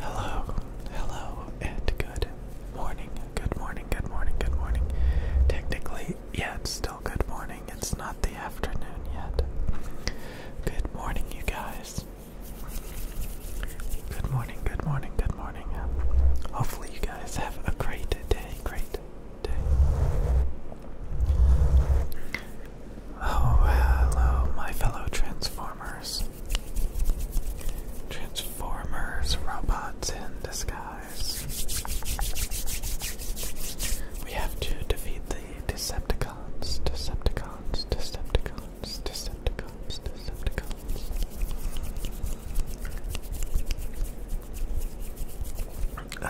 Hello, hello, and good morning. Good morning, good morning, good morning. Technically, yeah, it's still good morning. It's not the afternoon yet. Good morning, you guys. Good morning, good morning, good morning. Hopefully, you guys have a great day. Great day. Oh, hello, my fellow Transformers. Transformers, robots in disguise. We have to defeat the Decepticons, Decepticons, Decepticons, Decepticons, Decepticons.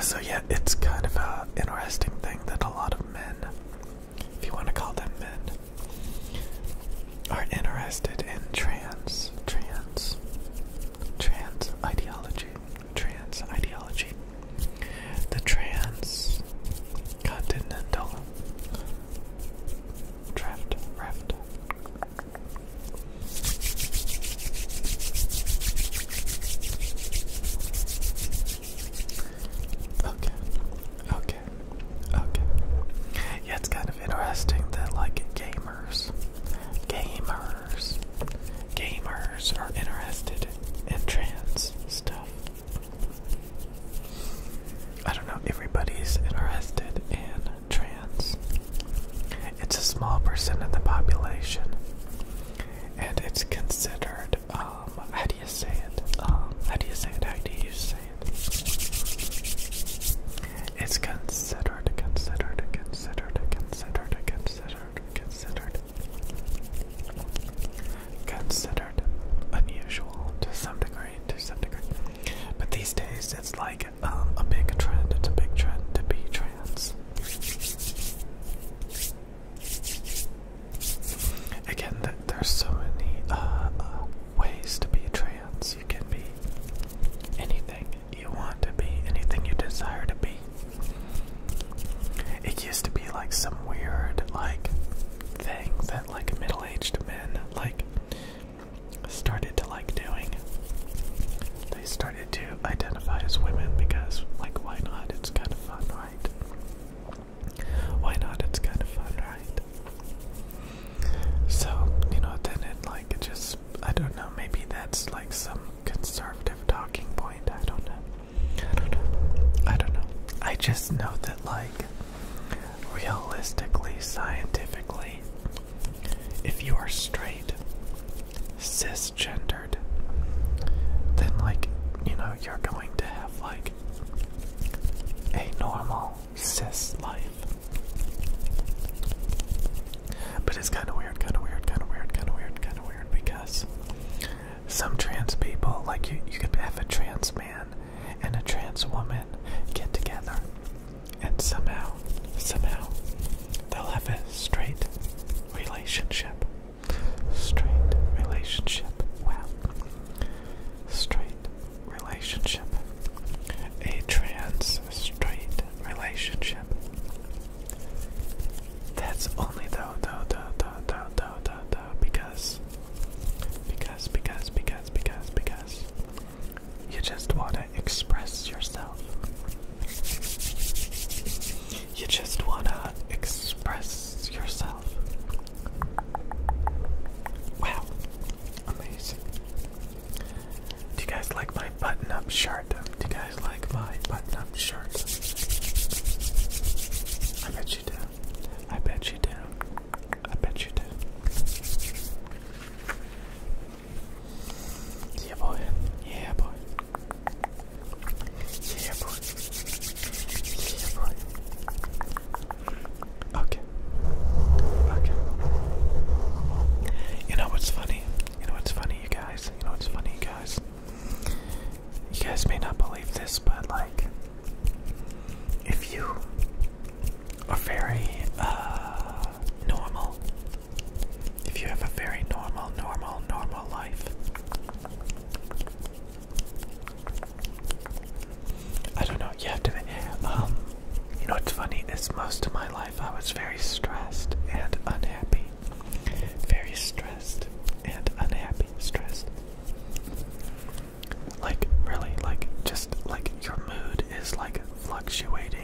So, yeah, it's kind of an interesting thing that a lot of men, if you want to call them men, are interested in trans, trans, trans ideology, trans ideology. The transcontinental draft, raft. Okay. Okay. Okay. Yeah, it's kind of interesting that like gamers, gamers, gamers are interested in trans stuff. I don't know, everybody's interested in trans. It's a small percent of the population, and it's considered um, how do you say it? Um, how do you say it? How do you say it? It's considered, considered, considered, considered, considered, considered, considered unusual to some degree, to some degree. But these days, it's like um, a big trend. It's a big trend to be trans. Again, th there's so many uh, uh, ways to be trans. You can be anything you want to be, anything you desire to be. It used to be like some weird like thing that like middle-aged men like started to like doing they started to identify as women because, like, why not? It's kind of fun, right? Why not? It's kind of fun, right? So, you know, then it, like, it just, I don't know, maybe that's like some conservative talking point. I don't know. I don't know. I just know that, like, realistically, scientifically, if you are straight, cisgendered, then, like, you know, you're going to have, like, a normal cis life. But it's kind of weird, kind of weird, kind of weird, kind of weird, kind of weird because some trans people, like, you, you could have a trans man and a trans woman get together and somehow, somehow, they'll have a straight relationship. Straight relationship. Wow. Straight relationship. A trans straight relationship. That's only though, though, though, though, though, though, though, though, because, because, because, because, because, because, you just want to express yourself. You just wanna express yourself. Wow, amazing. Do you guys like my button up shirt? Do you guys like my button up shirt? I bet you do. I bet you do. I bet you do. Yeah, boy. Yeah, boy. Yeah, boy. Yeah, boy. Okay. Okay. You know what's funny? You know what's funny, you guys? You know what's funny, you guys? You guys may not believe this, but like, if you are very uh, normal if you have a very normal, normal, normal life. I don't know, you have to, um, you know what's funny is most of my life I was very stressed and unhappy. Very stressed and unhappy. Stressed. Like, really, like, just like your mood is like fluctuating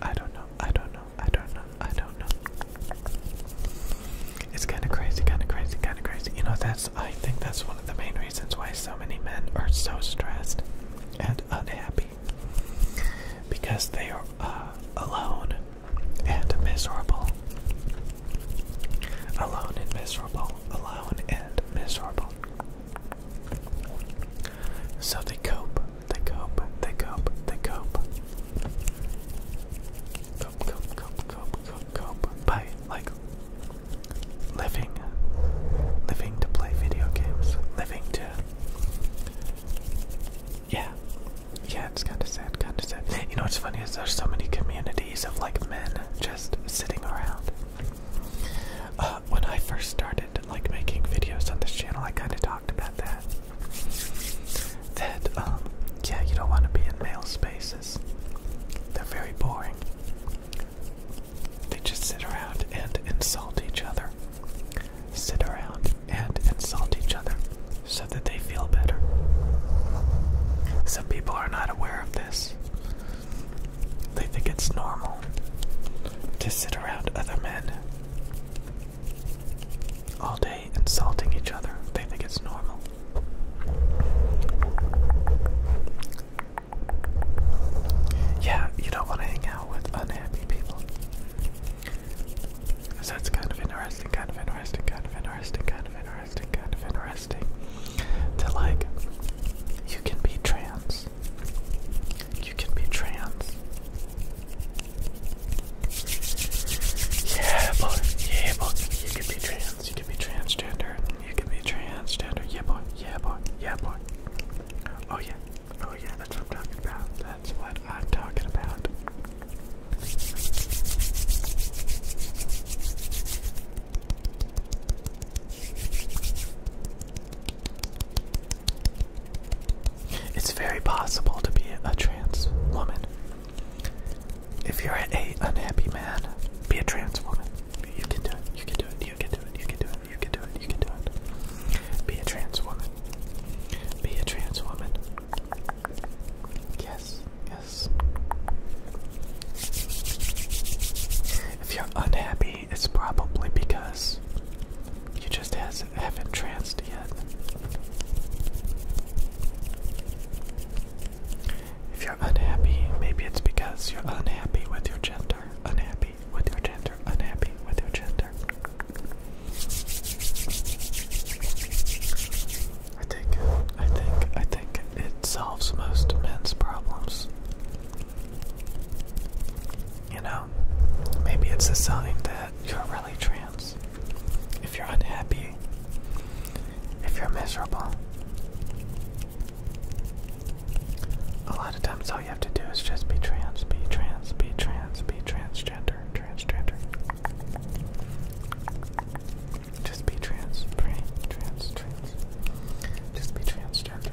I don't know. I don't know. I don't know. I don't know. It's kind of crazy, kind of crazy, kind of crazy. You know, that's I think that's one of the main reasons why so many men are so stressed and unhappy because they are uh, alone and miserable. Alone and miserable. Alone and miserable. So they cope, they cope, they cope, they cope. Cope, cope, cope, cope, cope, By like living, living to play video games, living to. Yeah, yeah, it's kind of sad, kind of sad. You know what's funny is there's so many communities of like men just sitting around when I first started like making videos on this channel, I kind of talked about that. That um, yeah, you don't want to be in male spaces. They're very boring. They just sit around and insult each other. Sit around and insult each other so that they feel better. Some people are not aware of this. They think it's normal to sit around other men all day insulting each other. They think it's normal. Yeah, you don't want to hang out with unhappy people. that's kind of interesting, kind of interesting, kind of interesting, kind of interesting, kind of interesting. To like, you can be trans. You can be trans. Yeah, boy. Yeah, boy. You can be trans. You can be transgender. You can be transgender. Yeah, boy. Yeah, boy. Yeah, boy. Oh, yeah. Oh, yeah. That's what I'm talking about. That's what I'm talking about. It's very possible to be a trans woman. If you're a unhappy man, be a trans woman. You can do it. You can do it. You can do it. You can do it. You can do it. You can do it. Be a trans woman. Be a trans woman. Yes. Yes. If you're unhappy it's probably because you just has, haven't tranced yet. If you're unhappy, maybe it's because you're unhappy with your gender, unhappy with your gender, unhappy with your gender. I think, I think, I think it solves most men's problems. You know, maybe it's a sign that you're really trans. If you're unhappy, if you're miserable, a lot of times all you have to do is just be trans, be trans, be trans, be transgender, transgender. Just be trans, trans, trans. Just be transgender.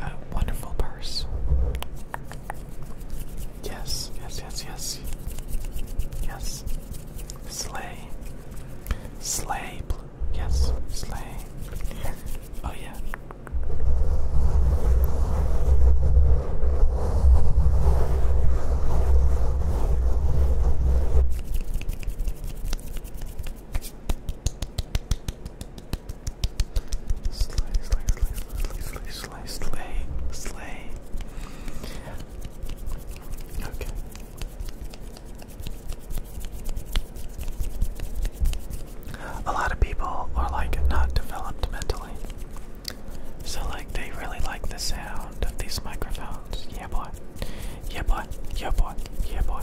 A wonderful purse. Yes, yes, yes, yes. Yes. Slay. Slay. Yes, slay. Oh, yeah. Slay, slay, slay, slay, slay, slay, slay, slay. Okay. A lot of people are like not developed mentally. So like they really like the sound of these microphones. Yeah boy. Yeah boy. Yeah boy. Yeah boy.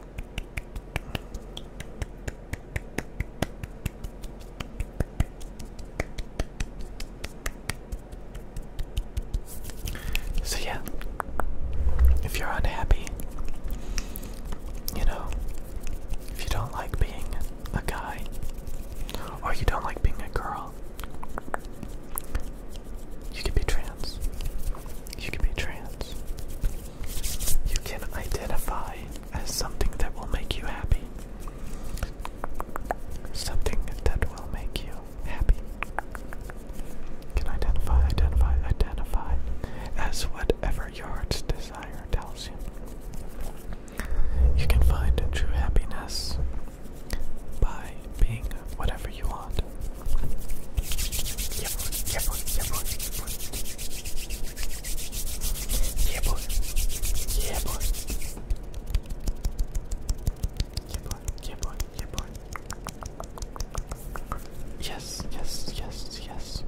So, yeah, if you're unhappy, you know, if you don't like being a guy or you don't like being a girl, you can be trans. You can be trans. You can identify as something that will make you happy. Something that will make you happy. can identify, identify, identify as whatever your heart's desire tells you. You can find true happiness by being whatever you want. Yeah, boy. Yeah, boy. Yeah, boy. Yeah, boy. Yeah, boy. Yeah, boy. Yeah, boy. Yeah, boy. Yeah, boy. Yes, yes, yes, yes.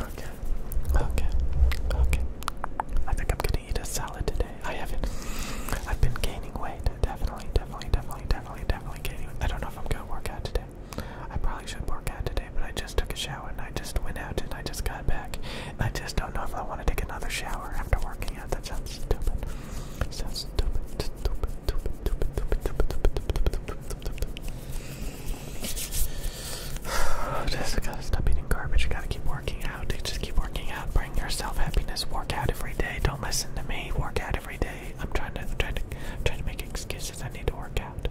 Okay, okay, okay. I think I'm gonna eat a salad today. I haven't. I've been gaining weight. Definitely, definitely, definitely, definitely, definitely gaining. I don't know if I'm gonna work out today. I probably should work out today but I just took a shower and I just went out and I just got back. And I just don't know if I want to take another shower after working out. That sounds stupid. Sounds stupid. Stupid. Stupid. Stupid. Stupid. Just gotta stop eating garbage. Gotta keep working out. Just keep working out. Bring yourself happiness. Work out every day. Don't listen to me. Work out every day. I'm trying to, I'm trying to, I'm trying to make excuses. I need to work out.